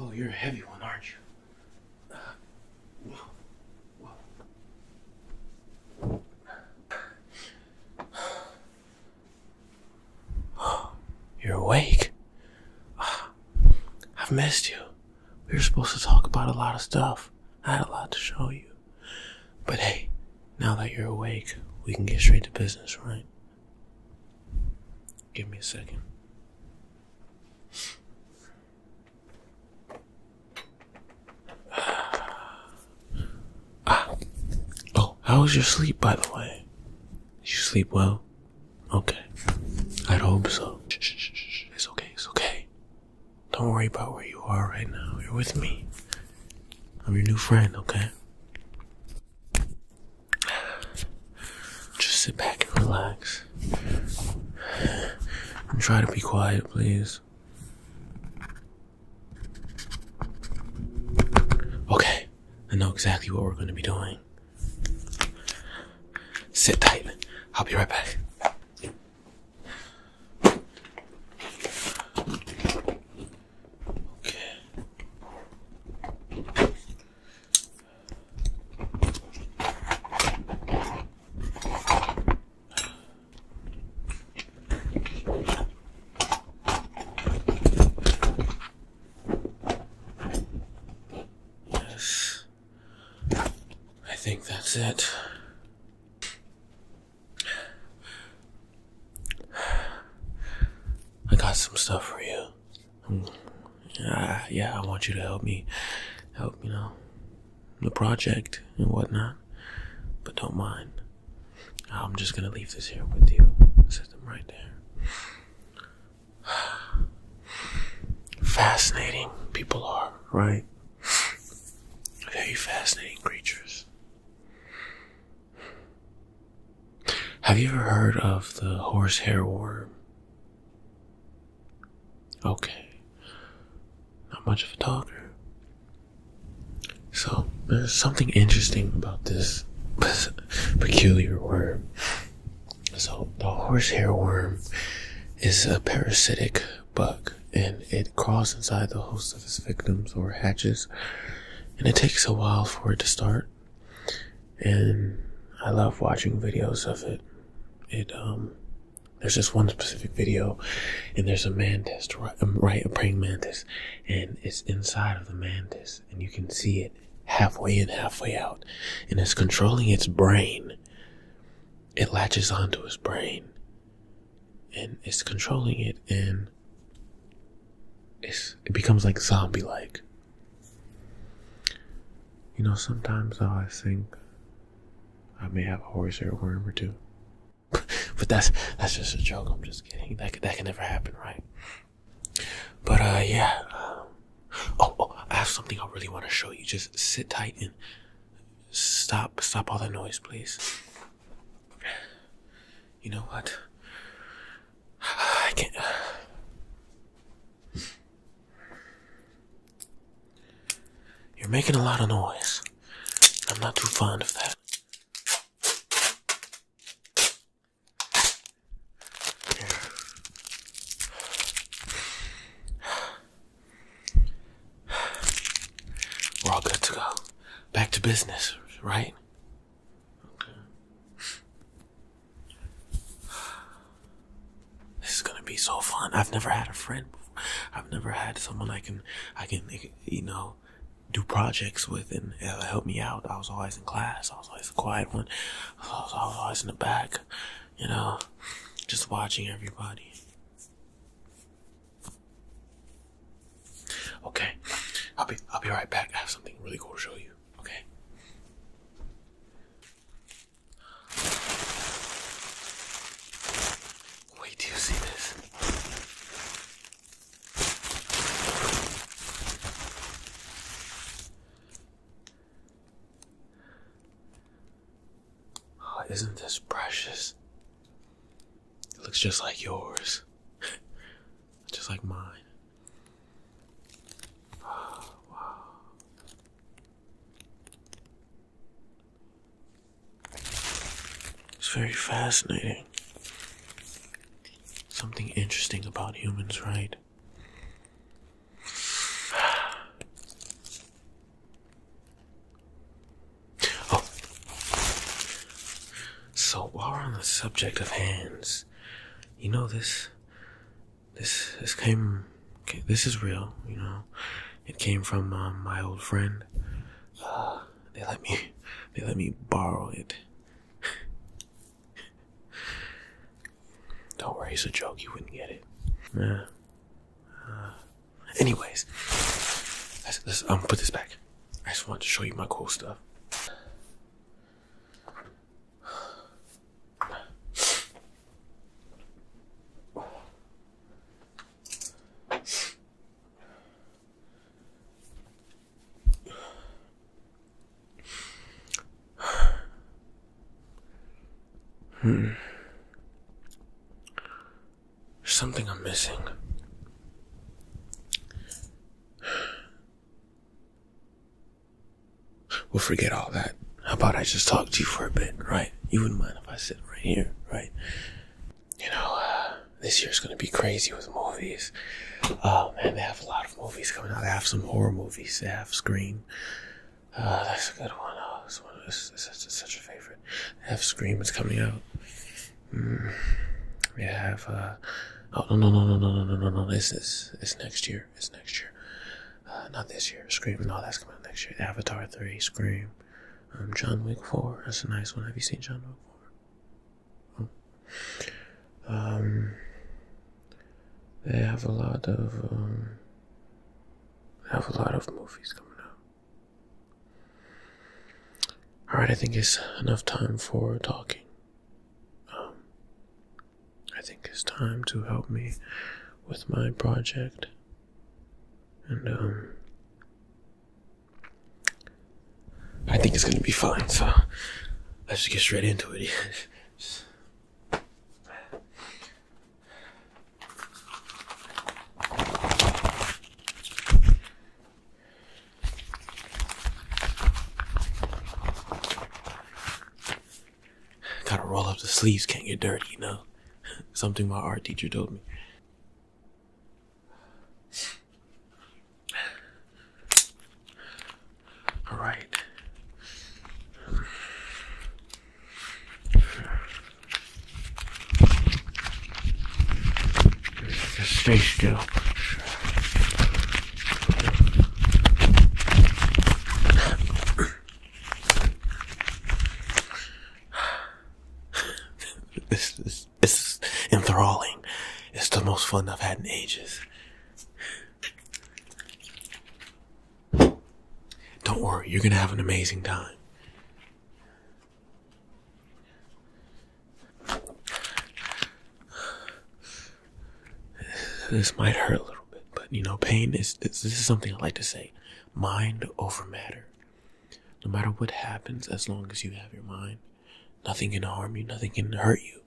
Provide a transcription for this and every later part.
Oh, you're a heavy one, aren't you? you're awake. I've missed you. We were supposed to talk about a lot of stuff. I had a lot to show you. But hey, now that you're awake, we can get straight to business, right? Give me a second. ah. Oh, how was your sleep, by the way? Did you sleep well? Okay. i hope so. it's okay, it's okay. Don't worry about where you are right now. You're with me. I'm your new friend, okay? Just sit back and relax. And try to be quiet, please. Okay, I know exactly what we're going to be doing. Sit tight. I'll be right back. Okay. Yes. I think that's it. I got some stuff for you. Mm. Uh, yeah, I want you to help me, help you know, the project and whatnot. But don't mind. I'm just gonna leave this here with you. Set them right there. Fascinating people are, right? Very fascinating creatures. Have you ever heard of the horsehair worm? Okay. Not much of a talker. So, there's something interesting about this peculiar worm. So, the horsehair worm is a parasitic bug and it crawls inside the host most his victims or hatches, and it takes a while for it to start. And I love watching videos of it. It um, there's this one specific video, and there's a mantis, um, right, a praying mantis, and it's inside of the mantis, and you can see it halfway in, halfway out, and it's controlling its brain. It latches onto his brain, and it's controlling it, and it becomes like zombie like. You know, sometimes I think I may have a horse worm or two. but that's that's just a joke. I'm just kidding. That that can never happen, right? But uh, yeah. Um, oh, oh, I have something I really want to show you. Just sit tight and stop, stop all that noise, please. You know what? I can't. You're making a lot of noise. I'm not too fond of that. We're all good to go. Back to business, right? Okay. This is gonna be so fun. I've never had a friend before. I've never had someone I can, I can, you know, do projects with and help me out. I was always in class. I was always a quiet one. I was always in the back, you know, just watching everybody. Okay, I'll be I'll be right back. I have something really cool to show you. Okay. Wait, till you see this? Oh, isn't this precious? It looks just like yours. just like mine. wow. It's very fascinating. Something interesting about humans, right? Oh. So while we're on the subject of hands, you know this this this came this is real, you know. It came from um, my old friend. Uh, they let me they let me borrow it. Don't worry, it's a joke. You wouldn't get it. Uh, anyways, let's, let's um, put this back. I just wanted to show you my cool stuff. Hmm. There's something I'm missing. We'll forget all that. How about I just talk to you for a bit, right? You wouldn't mind if I sit right here, right? You know, uh, this year's gonna be crazy with movies. Uh, man, they have a lot of movies coming out. They have some horror movies. They have Scream. Uh, that's a good one. Oh, this one of this such a favorite. They have Scream. It's coming out. Mm, we have. Uh, oh no no no no no no no no no! This is it's next year. It's next year. Uh, not this year. Scream. No, that's coming out next year. Avatar three. Scream. Um, John Wick four. That's a nice one. Have you seen John Wick four? Oh. Um. They have a lot of. Um, have a lot of movies coming out. Alright, I think it's enough time for talking. Um, I think it's time to help me with my project. And, um, I think it's gonna be fine, so let's just get straight into it. Gotta roll up the sleeves, can't get dirty, you know? Something my art teacher told me. All right. Just stay still. this is this is enthralling. It's the most fun I've had in ages. Don't worry, you're gonna have an amazing time. This might hurt a little bit, but you know, pain is this is something I like to say mind over matter. No matter what happens, as long as you have your mind, nothing can harm you, nothing can hurt you.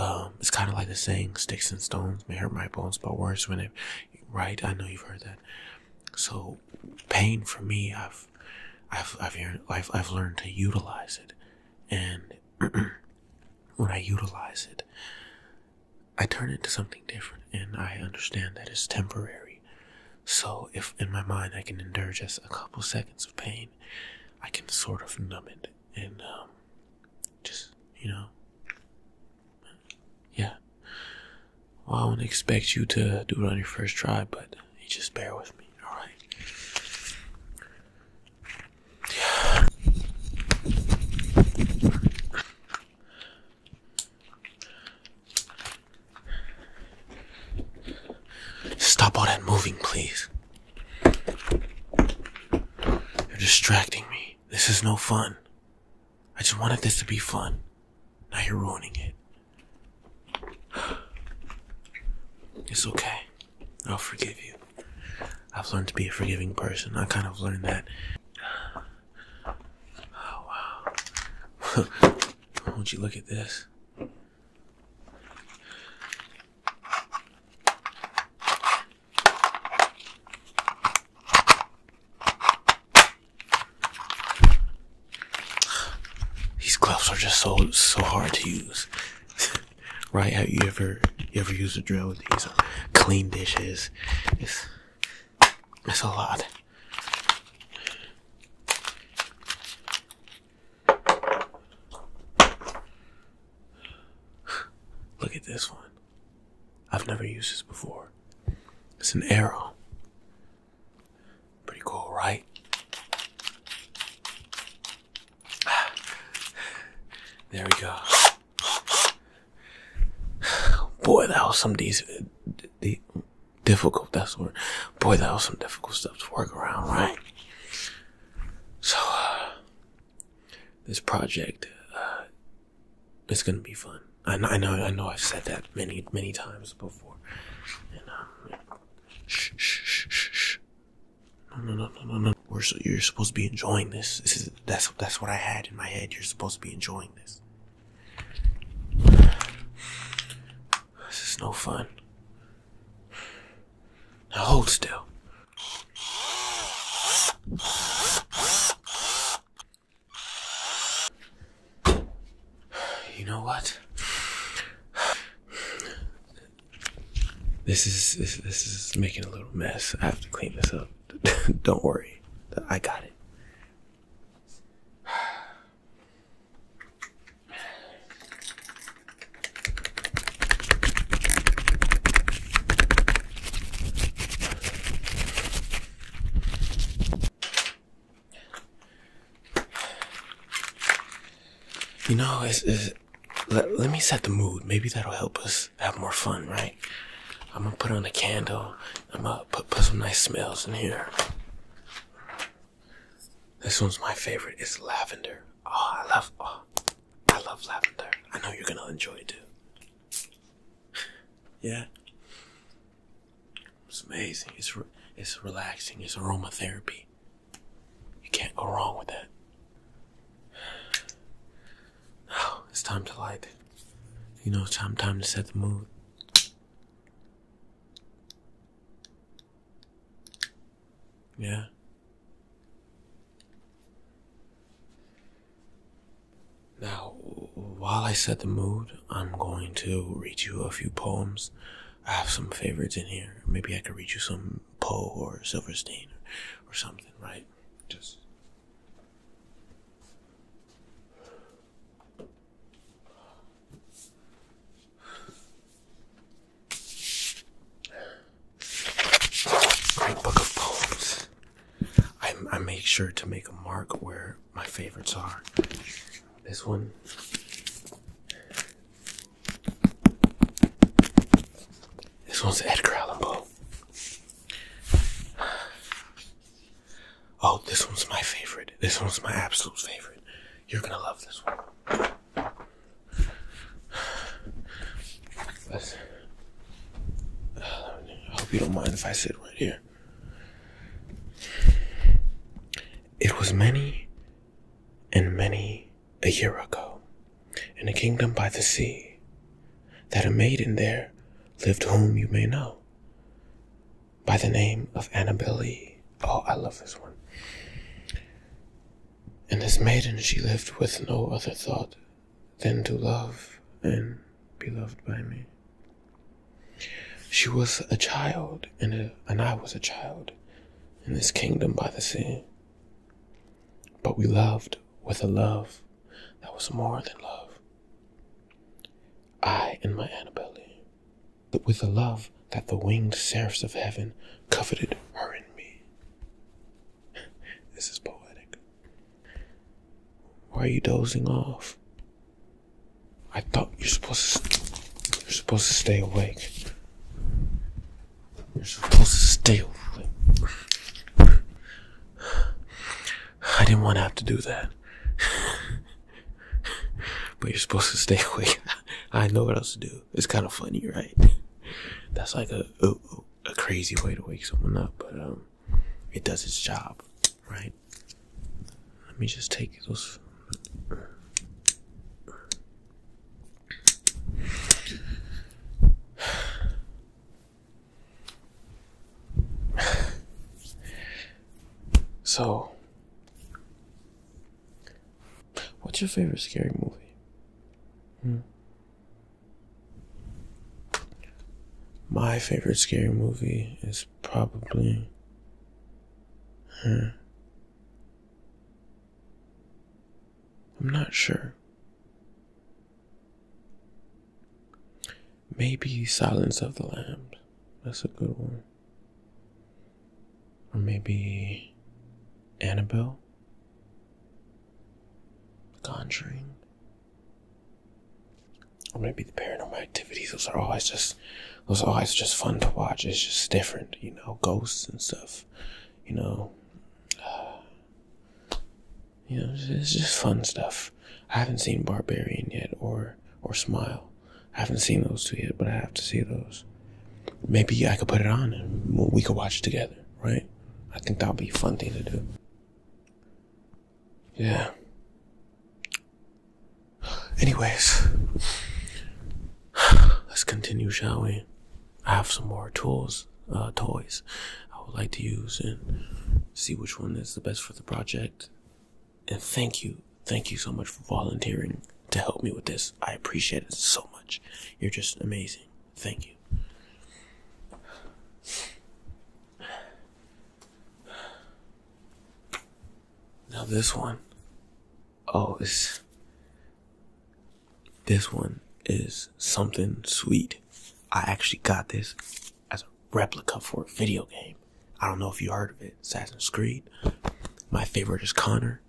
Um, it's kind of like the saying, sticks and stones may hurt my bones, but words when it, right? I know you've heard that. So, pain for me, I've I've I've learned to utilize it, and when I utilize it, I turn it to something different, and I understand that it's temporary. So if in my mind I can endure just a couple seconds of pain, I can sort of numb it and um, just you know, yeah. I wouldn't expect you to do it on your first try, but just bear with me, alright? Stop all that moving, please. You're distracting me. This is no fun. I just wanted this to be fun. Now you're ruining it. It's okay. I'll forgive you. I've learned to be a forgiving person. I kind of learned that. Oh, wow. Won't you look at this? These gloves are just so so hard to use. right? Have you ever you ever used a drill with these? Uh, clean dishes. It's it's a lot. Look at this one. I've never used this before. It's an arrow. Pretty cool, right? There we go. Boy, that was some these difficult. That's what. Boy, that was some difficult stuff to work around, right? So, uh, this project uh, is gonna be fun. I know, I know, I know. I've said that many, many times before. No, no, no, no, no, you're supposed to be enjoying this. This is that's that's what I had in my head. You're supposed to be enjoying this. This is no fun. Now hold still. You know what? This is this, this is making a little mess. I have to clean this up. Don't worry, I got it. You know, it's, it's, let, let me set the mood. Maybe that'll help us have more fun, right? I'm gonna put on a candle. I'm gonna put, put some nice smells in here. This one's my favorite. It's lavender. Oh, I love, oh, I love lavender. I know you're gonna enjoy it too. Yeah. It's amazing. It's it's relaxing. It's aromatherapy. You can't go wrong with that. Now oh, it's time to light. You know, it's time time to set the mood. Yeah. Now, while I set the mood, I'm going to read you a few poems. I have some favorites in here. Maybe I could read you some Poe or Silverstein or, or something, right? Just. Great book of poems. I, I make sure to make a mark where my favorites are. This one. This one's Edgar Allan Poe. Oh, this one's my favorite. This one's my absolute favorite. You're gonna love this one. I hope you don't mind if I sit right here. It was many and many a year ago, in a kingdom by the sea, that a maiden there lived whom you may know by the name of Annabel Lee. Oh, I love this one. And this maiden she lived with no other thought than to love and be loved by me. She was a child, uh, and, I was a child in this kingdom by the sea. But we loved with a love that was more than love. I and my Annabelle, but with a love that the winged seraphs of heaven coveted her and me. this is poetic. Why are you dozing off? I thought you're supposed to. You're supposed to stay awake. You're supposed to stay awake. I didn't want to have to do that. but you're supposed to stay awake. I know what else to do. It's kind of funny, right? That's like a, a, crazy way to wake someone up, but um, it does its job. Right. Let me just take those. So, what's your favorite scary movie? Hmm. My favorite scary movie is probably Huh. Hmm. I'm not sure. Maybe Silence of the Lambs. That's a good one. Or maybe Annabelle? Conjuring? or maybe the paranormal activities. Those are always just those are always just fun to watch. It's just different, you know, ghosts and stuff. You know, you know, it's, just fun stuff. I haven't seen Barbarian yet, or or Smile. I haven't seen those two yet, but I have to see those. Maybe I could put it on and we could watch it together, right? I think that would be a fun thing to do. Yeah. Anyways, let's continue, shall we? I have some more tools, uh, toys I would like to use and see which one is the best for the project. And thank you, thank you so much for volunteering to help me with this. I appreciate it so much. You're just amazing. Thank you. Now this one, oh, it's, this one is something sweet. I actually got this as a replica for a video game. I don't know if you heard of it, Assassin's Creed. My favorite is Connor,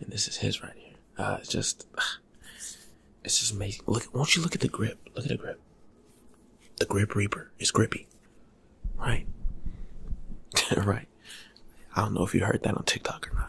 and this is his right here. Uh, it's just, it's just amazing. Look, won't you look at the grip? Look at the grip. The Grip Reaper is grippy. Right. right. I don't know if you heard that on TikTok or not.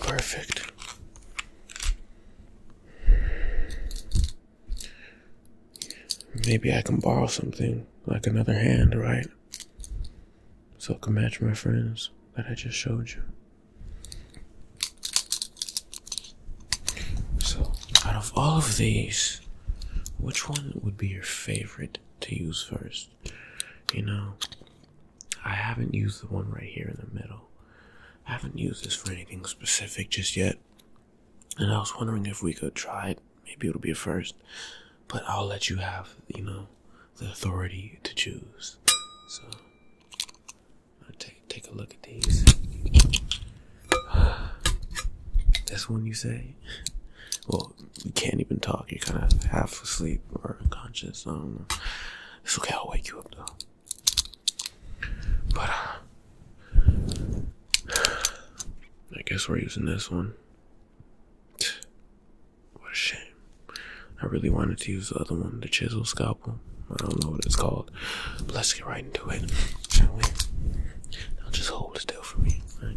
Perfect. Maybe I can borrow something like another hand, right? So it can match my friends that I just showed you. So, out of all of these, which one would be your favorite to use first? You know, I haven't used the one right here in the middle. I haven't used this for anything specific just yet. And I was wondering if we could try it. Maybe it'll be a first. But I'll let you have, you know, the authority to choose. So, Take take a look at these. That's one you say. Well, you can't even talk. You're kind of half asleep or unconscious. I don't know. It's okay. I'll wake you up though. But uh, I guess we're using this one. What a shame. I really wanted to use the other one, the chisel scalpel. I don't know what it's called. But let's get right into it, shall we? Now just hold still for me. Right?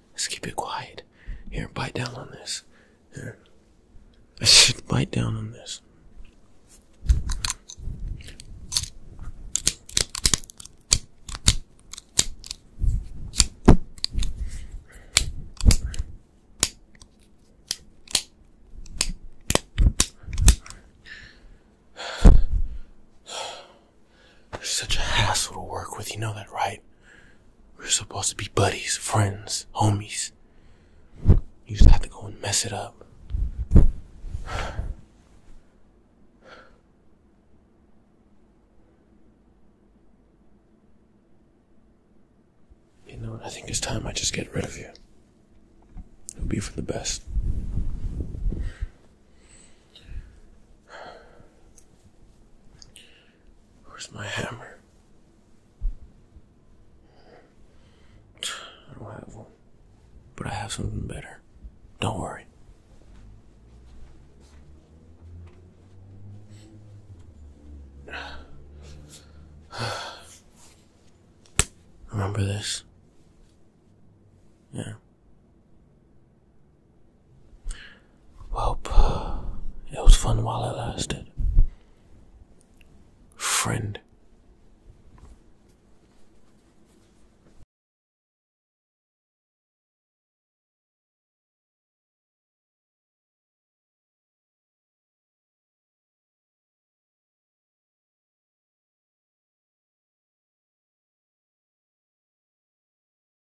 Let's keep it quiet. Here, bite down on this. Here. I should bite down on this. such a hassle to work with, you know that, right? We're supposed to be buddies, friends, homies. You just have to go and mess it up. You know, I think it's time I just get rid of you. It'll be for the best. Where's my hammer? I don't have one. But I have something better. Don't worry. Remember this? Yeah. Well, it was fun while it lasted. Friend.